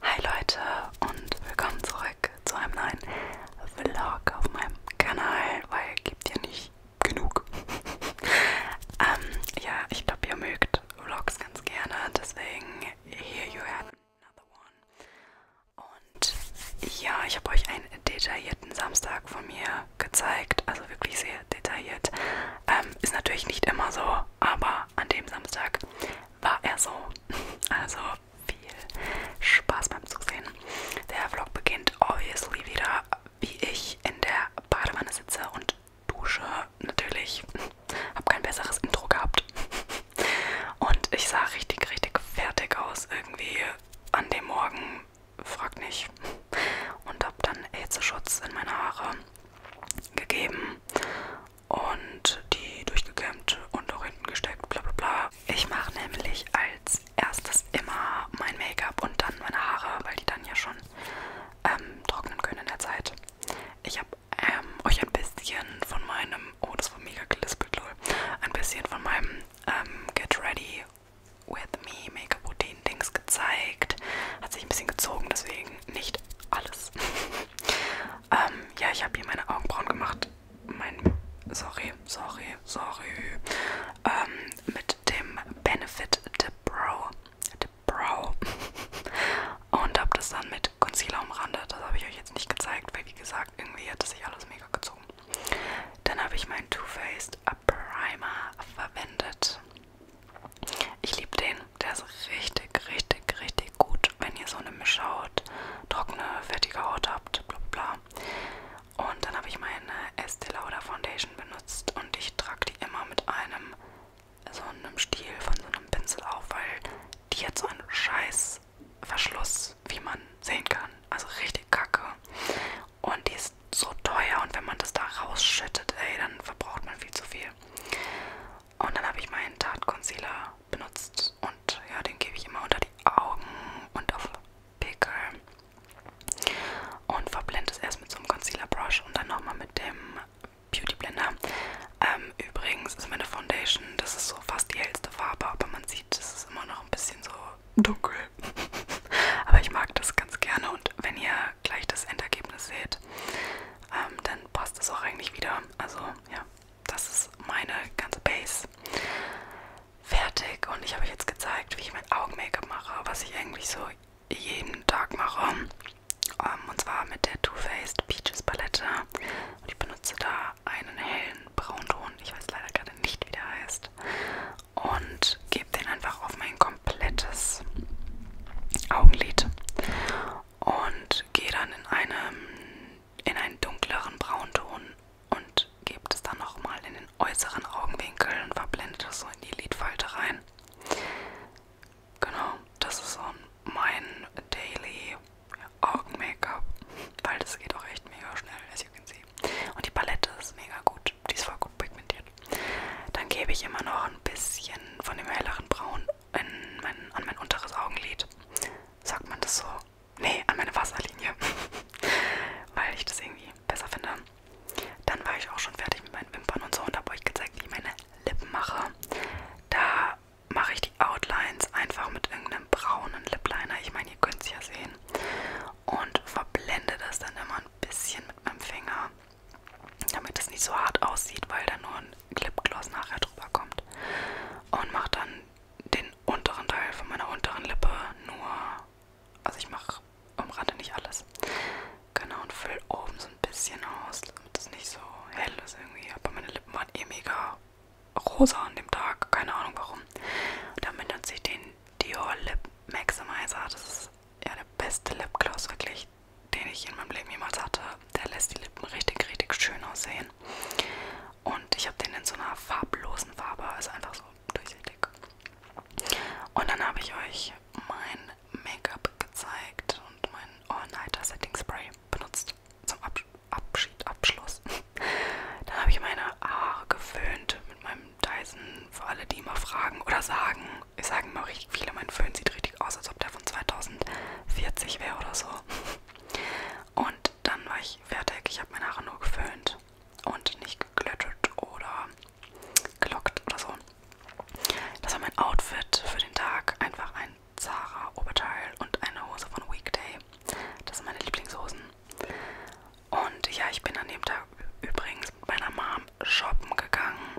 Hi Leute und willkommen zurück zu einem neuen Vlog auf meinem Kanal, weil gibt ja nicht genug. ähm, ja, ich glaube ihr mögt Vlogs ganz gerne, deswegen here you have another one. Und ja, ich habe euch einen detaillierten Samstag von mir gezeigt, also wirklich sehr detailliert. Ähm, ist natürlich nicht immer so, aber an dem Samstag war er so. Also viel Spaß beim Zusehen. Der Vlog beginnt obviously wieder, wie ich in der Badewanne sitze und dusche. Natürlich habe kein besseres Intro gehabt. Und ich sah richtig, richtig fertig aus irgendwie an dem Morgen. Frag nicht. Und habe dann Hitzeschutz in meine Haare gegeben und die durchgekämmt und auch hinten gesteckt, bla bla bla. Ich mache nämlich als erstes immer mein Make-up und dann meine Haare, weil die dann ja schon ähm, trocknen können in der Zeit. Ich habe ähm, euch ein bisschen von meinem, oh das war mega gelispelt, lol, ein bisschen von meinem ähm, Get Ready With Me Make-up Routine Dings gezeigt. Hat sich ein bisschen gezogen, deswegen nicht alles. ähm, ja, ich habe hier meine Augenbrauen gemacht. Mein, sorry, sorry, sorry. Ähm, mit dem Benefit The Brow. The Brow. Und habe das dann mit Concealer umrandet. Das habe ich euch jetzt nicht gezeigt, weil wie gesagt, irgendwie hat sich alles mega gezogen. Dann habe ich meinen Too Faced Primer verwendet. Ich liebe den. Der ist richtig, richtig, richtig gut, wenn ihr so eine Mischhaut, trockene, fertige Haut habt, bla bla. Und dann habe ich meine Estee Lauder Foundation benutzt und ich trage die immer mit einem so einem Stiel von so einem Pinsel auf, weil die hat so einen scheiß Verschluss, wie man sehen kann. Also richtig kacke. Und die ist ist so teuer und wenn man das da rausschüttet, ey, dann verbraucht man viel zu viel. Und dann habe ich meinen Tarte Concealer benutzt und ja, den gebe ich immer unter die Augen und auf Pickel und verblende es erst mit so einem Concealer Brush und dann nochmal mit dem Beauty Blender. Ähm, übrigens ist meine Foundation, das ist so fast die hellste Farbe, aber man sieht, es ist immer noch ein bisschen so dunkel. aber ich mag das ganz gerne und wenn ihr gleich das Endergebnis seht, ähm, dann passt es auch eigentlich wieder. Also ja, das ist meine ganze Base fertig und ich habe euch jetzt gezeigt, wie ich mein Augen-Make-up mache, was ich eigentlich so jeden Tag mache. Um, ähm, und zwar mit der Too Faced Peaches Palette. Und ich benutze da einen hellen Braunton. Ich weiß leider gerade nicht, wie der heißt und gebe den einfach auf mein komplettes Augenlid und gehe dann in, einem, in einen dunkleren Braunton und gebe das dann nochmal in den äußeren Augenwinkel und verblende das so in die Lidfalte rein. Genau, das ist so mein Daily Augen-Make-up, weil das geht auch echt mega schnell, as you can see. Und die Palette ist mega gut, die ist voll gut pigmentiert konzentriert. Dann gebe ich immer noch ein bisschen von dem helleren Braun mein, an mein unteres Augenlid. Sagt man das so? Nee, an meine Wasserlinie. Weil ich das irgendwie besser finde. Dann war ich auch schon fertig mit meinen Wimpern und so und habe euch gezeigt, wie ich meine Lippen mache. Da mache ich die Outlines einfach mit irgendeinem braunen Lip Liner. Ich meine, ihr könnt es ja sehen und verblende das dann immer ein bisschen mit meinem Finger, damit es nicht so hart aussieht, weil da nur ein Lipgloss nachher drüber kommt. Und mache dann den unteren Teil von meiner unteren Lippe nur, also ich mache umrande nicht alles. Genau, und fülle oben so ein bisschen aus, damit es nicht so hell ist irgendwie. Aber meine Lippen waren eh mega rosa an dem Tag, keine Ahnung warum. Und damit nutze ich den Dior Lip Maximizer. Das ist ja der beste Lipgloss wirklich, den ich in meinem Leben jemals hatte. Der lässt die Lippen richtig, richtig schön aussehen. Und ich habe den in so einer farblosen Farbe, also einfach so durchsichtig. Und dann habe ich euch mein Make-up gezeigt und mein All-Nighter Setting Spray benutzt zum Abschluss. Abschied, Abschluss. Dann habe ich meine Haare geföhnt mit meinem Dyson, für alle, die immer fragen oder sagen, ich sage immer richtig viele, mein Föhn sieht richtig aus, als ob der von 2040 wäre oder so. Und dann war ich fertig, ich habe meine Haare nur geföhnt und nicht geglöttet oder gelockt oder so. Das war mein Outfit für den Tag, einfach ein Zara Oberteil und eine Hose von Weekday. Das sind meine Lieblingshosen. Und ja, ich bin an dem Tag übrigens mit meiner Mom shoppen gegangen,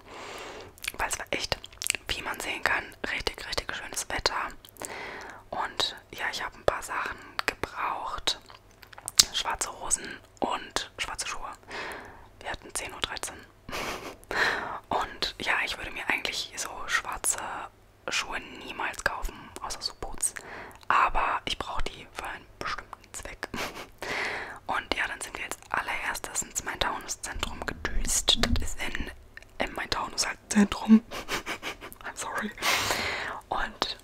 weil es war echt, wie man sehen kann, richtig, richtig schönes Wetter. Und ja, ich habe ein paar Sachen gebraucht. Schwarze Hosen und schwarze Schuhe. Wir hatten 10.13 Uhr. Und ja, ich würde mir eigentlich so schwarze Schuhe niemals kaufen, außer so Boots. Aber ich brauche die für einen bestimmten Zweck. Und ja, dann sind wir jetzt allererstes ins Main-Taunus-Zentrum gedüst. Das ist in, in Main-Taunus halt Zentrum. I'm sorry. Und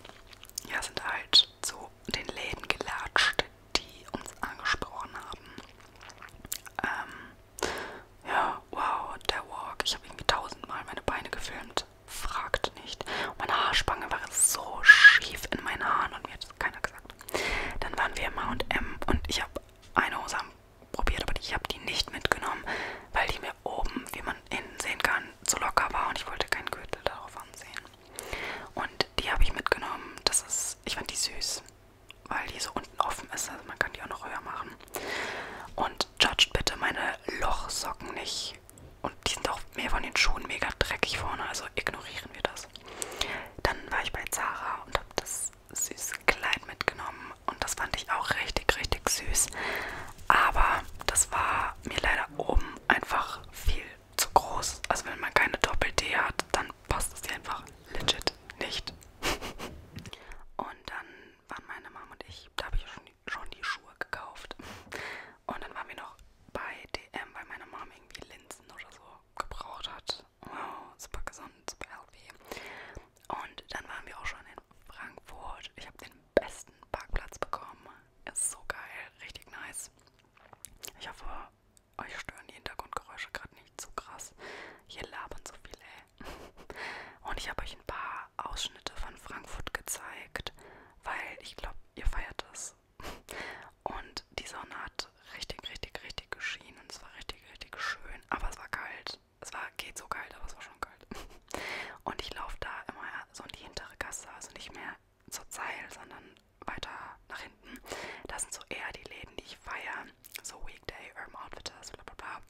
ja, sind halt zu den Läden gelatscht, die uns angesprochen haben. Ähm, ja, wow, der Walk. Ich habe irgendwie tausendmal meine Beine gefilmt und fragt nicht. Und meine Haarspange war so schief in meinen Haaren und mir hat das keiner gesagt. Dann waren wir im H&M und ich habe eine Hose probiert, aber ich habe die nicht mitgenommen, weil die mir oben, wie man innen sehen kann, zu locker war und ich wollte keinen Gürtel darauf ansehen. Und die habe ich mitgenommen. Das ist, ich fand die süß, weil die so unten offen ist, also man kann die auch noch höher machen. Und judgt bitte meine Lochsocken nicht. Und die sind auch mehr von den Schuhen mega dreckig vorne, also ignorieren wir das. Dann war ich bei Zara und habe das süße Kleid mitgenommen. Und das fand ich auch richtig, richtig süß. Aber das war mir leider oben einfach viel zu groß. Also wenn man keine Doppel-D hat, dann passt es dir einfach legit nicht. und dann waren meine Mama und ich, da habe ich schon Johnny Schuhe gekauft. Und dann waren wir noch bei DM, weil meine Mom irgendwie Linsen oder so gebraucht hat. Wow, super gesund, super healthy. Und dann waren wir auch schon in Frankfurt. Ich habe den besten Parkplatz bekommen. Ist so geil, richtig nice. Ich hoffe, euch stören die Hintergrundgeräusche gerade nicht zu krass. Hier labern so viele, ey. Und ich habe euch ein paar Ausschnitte von Frankfurt gezeigt, weil ich glaube, ihr feiert es. Und die Sonne hat richtig, richtig, richtig geschienen und es war richtig, richtig schön, aber es war kalt. Es war geht so kalt, aber es war schon kalt. Und ich laufe da immer so in die hintere Gasse, also nicht mehr zur Zeil, sondern weiter nach hinten. Das sind so eher die Läden, die ich feiere. So Weekday, Urban Outfitters, bla bla bla.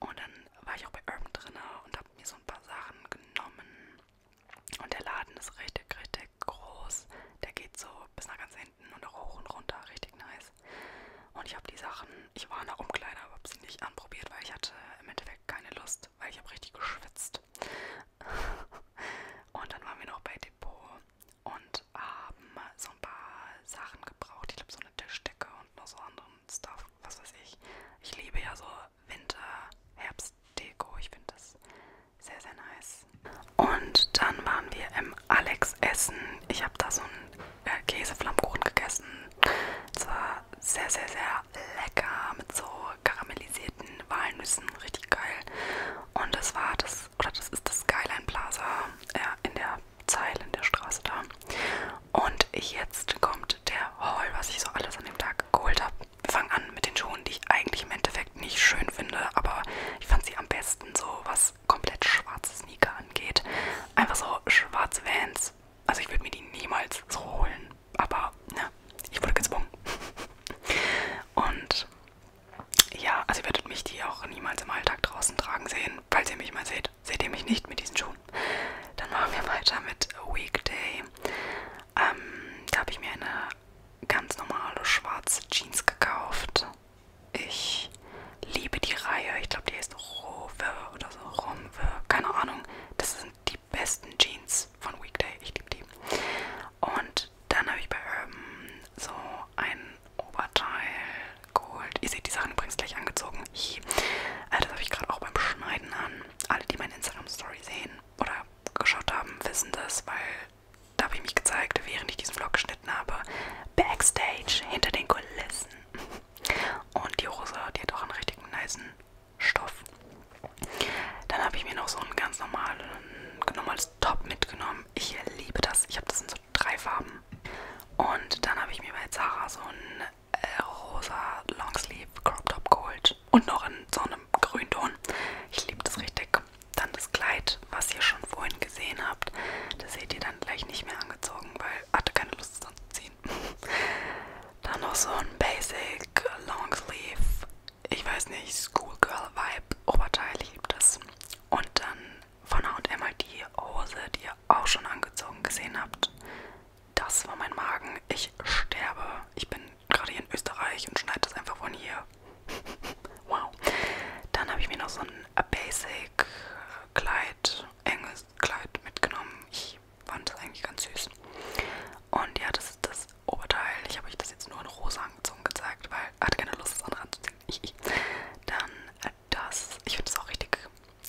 Und dann war ich auch bei Urban drin und habe mir so ein paar Sachen genommen. Und der Laden ist richtig, richtig groß. Der geht so bis nach ganz hinten und auch hoch und runter. Richtig nice. Und ich habe die Sachen, ich war in der Umkleide, aber habe sie nicht anprobiert, weil ich hatte im Endeffekt keine Lust, weil ich habe richtig geschwitzt. und dann waren wir noch bei Depot und haben so ein paar Sachen gebraucht. Ich glaube, so eine Tischdecke und noch so anderen Stuff, was weiß ich. Ich liebe ja so Winter-Herbst-Deko. Ich finde das sehr, sehr nice. Und dann waren wir im Alex Essen. Ich habe da so einen äh, Käseflammkuchen gegessen. Es war sehr, sehr, sehr lecker mit so karamellisierten Walnüssen. Richtig geil. Und das war das, oder das ist das Skyline Plaza äh, in der Zeilen der Straße da. Und jetzt kommt der Haul, was ich so alles an dem Tag geholt habe. Wir fangen an mit den Schuhen, die ich eigentlich im Endeffekt nicht schön finde, aber ich fand sie am besten so, was komplett schwarze Sneaker angeht. Einfach so schwarze Vans. Also ich würde mir die niemals so holen, aber ne, ich wurde gezwungen. Und ja, also ihr werdet mich die auch niemals im Alltag draußen tragen sehen, falls ihr mich mal seht. Outfit. Seht ihr mich nicht mit diesen Schuhen? Dann machen wir weiter mit Weekday. Ähm, da habe ich mir eine ganz normale schwarze Jeans gekauft. Ich liebe die Reihe. Ich glaube, die heißt Rove oder so. Romwe. Keine Ahnung. Das sind die besten Jeans von Weekday. Ich liebe die. Und dann habe ich bei Urban so einen Oberteil geholt. Ihr seht die Sachen übrigens gleich angezogen. Äh, das habe ich gerade auch beim Schneiden an. Alle, die meine Instagram-Story sehen oder geschaut haben, wissen das, weil da habe ich mich gezeigt, während ich diesen Vlog geschnitten habe. Backstage, hinter den Kulissen. Und die Hose, die hat auch einen richtig niceen Stoff. Dann habe ich mir noch so ein ganz normalen, normales Top mitgenommen. Ich liebe das. Ich habe das in so drei Farben. Und dann habe ich mir bei Zara so ein äh, rosa Longsleeve Crop Top geholt. Und noch in so einem Grünton. Ich liebe das richtig. Dann das Kleid, was ihr schon vorhin gesehen habt. Das seht ihr dann gleich nicht mehr angezogen, weil ich hatte keine Lust es anzuziehen. dann noch so ein Basic Longsleeve, ich weiß nicht, Schoolgirl Vibe Oberteil. Ich liebe das. Und dann von H&M halt die Hose, die ihr auch schon angezogen gesehen habt. Das war mein Magen. Ich sterbe. Ich bin gerade hier in Österreich und schneide das einfach von hier. wow. Dann habe ich mir noch so ein Basic Kleid, enges Kleid mitgenommen. Ich fand das eigentlich ganz süß. Und ja, das ist das Oberteil. Ich habe euch das jetzt nur in rosa angezogen gezeigt, weil ich hatte keine Lust, das andere anzuziehen. Dann äh, das. Ich finde es auch richtig,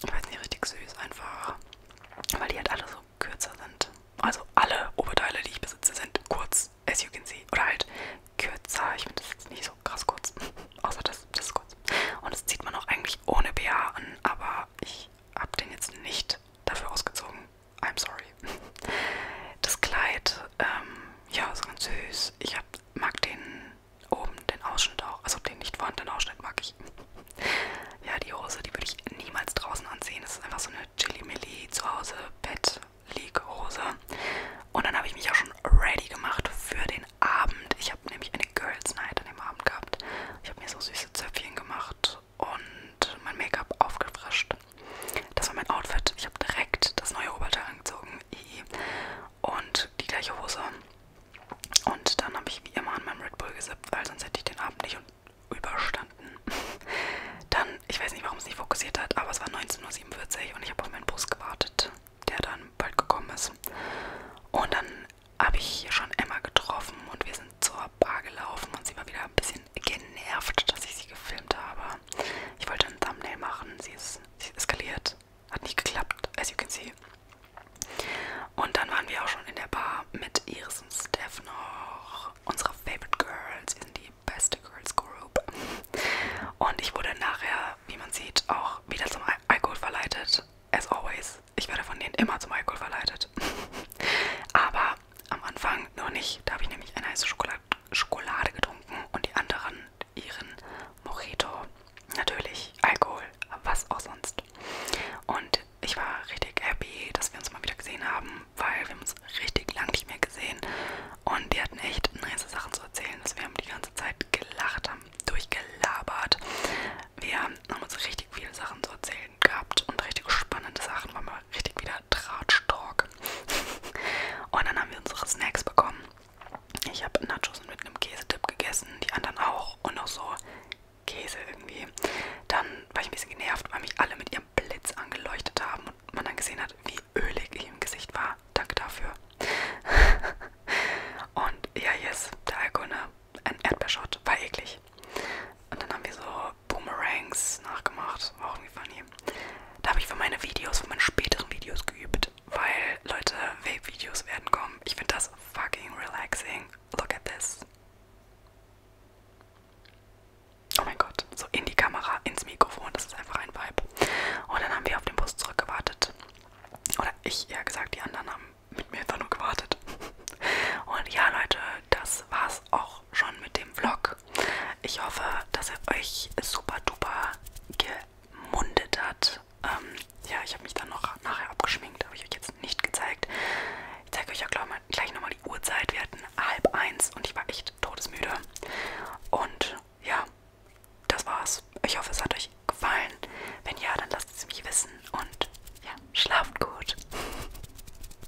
ich weiß nicht, richtig süß einfach. Weil die halt alle so kürzer sind. Also alle Oberteile, die ich besitze, sind kurz, as you can see. Oder halt kürzer. Ich finde das jetzt nicht so krass kurz. Außer das, das ist kurz. Und das zieht man auch eigentlich ohne BH an, aber ich habe den jetzt nicht dafür ausgezogen. I'm sorry. Das Kleid, ähm, ja, ist ganz süß. Ich habe mag den oben, den Ausschnitt auch. Also den nicht vorhandenen Ausschnitt mag ich. Ja, die Hose, die würde ich niemals draußen anziehen. Das ist einfach so eine Chili-Milli zu Hause, Bett, League-Hose. Und dann habe ich mich auch schon ready gemacht für den Abend. Ich habe nämlich eine Girls Night an dem Abend gehabt. Ich habe mir so süße Zöpfchen gemacht und mein Make-up aufgefrischt. Das war mein Outfit. Ich habe direkt das neue Oberteil angezogen und die gleiche Hose. Und dann habe ich wie immer an meinem Red Bull gesippt, weil sonst hätte ich den Abend nicht überstanden. Dann, ich weiß nicht, warum es nicht fokussiert hat, aber es war 19.47 Uhr und ich habe auf meinen Bus gewartet, der dann bald gekommen ist. Und dann habe ich hier schon Emma getroffen und wir sind zur Bar gelaufen und sie war wieder ein bisschen genervt, dass ich sie gefilmt habe ja, ich wollte ein Thumbnail machen. Sie ist, sie ist eskaliert. Hat nicht geklappt, as you can see. Und dann waren wir auch schon in der Bar mit Iris und Steph noch. Unsere Favorite Girls. Wir sind die beste Girls Group. Und ich wurde nachher, wie man sieht, auch wieder zum Al Alkohol verleitet. As always. Ich werde von denen immer zum Alkohol verleitet. Aber am Anfang noch nicht. Da habe ich nämlich eine heiße Schokolade Schokolade getrunken und die anderen ihren Mojito. Natürlich Alkohol, was auch sonst. Und ich war richtig happy, dass wir uns mal wieder gesehen haben, weil wir haben uns richtig lang nicht mehr gesehen. Und die hatten echt nice Sachen zu erzählen, dass wir haben die ganze Zeit gelacht haben, durchgelabert. Wir haben uns richtig viele Sachen zu erzählen gehabt und richtig spannende Sachen, weil wir richtig wieder der Drahtstock. und dann haben wir unsere Snacks bekommen. Ich habe Nachos mit einem Käsetipp gegessen, die anderen auch und noch so Käse irgendwie. Dann war ich ein bisschen genervt, weil mich alle mit ihrem Blitz angeleuchtet haben und man dann gesehen hat, wie ölig ich im Gesicht war. Danke dafür. und ja, yes, der Alkohol, ne? ein Erdbeerschott, war eklig. Und dann haben wir so Boomerangs nachgemacht. War auch irgendwie funny. Da habe ich für meine Videos, für meine späteren Videos geübt, weil, Leute, Vape-Videos werden kommen. Ich finde das fucking relaxing. Look at this. Oh mein Gott, so in die Kamera, ins Mikrofon, das ist einfach ein Vibe. Und dann haben wir auf den Bus zurückgewartet. Oder ich, eher gesagt, die anderen haben mit mir einfach nur gewartet. Und ja, Leute, das war's auch schon mit dem Vlog. Ich hoffe, dass er euch super duper gemundet hat. Ähm, ja, ich habe mich dann noch nachher abgeschminkt, habe ich euch jetzt nicht gezeigt. Ich zeige euch ja glaub, mal, gleich nochmal die Uhrzeit. Wir hatten halb eins und ich war echt todesmüde. Und ja, das war's. Ich hoffe, es hat euch gefallen. Wenn ja, dann lasst es mich wissen und ja, schlaft gut.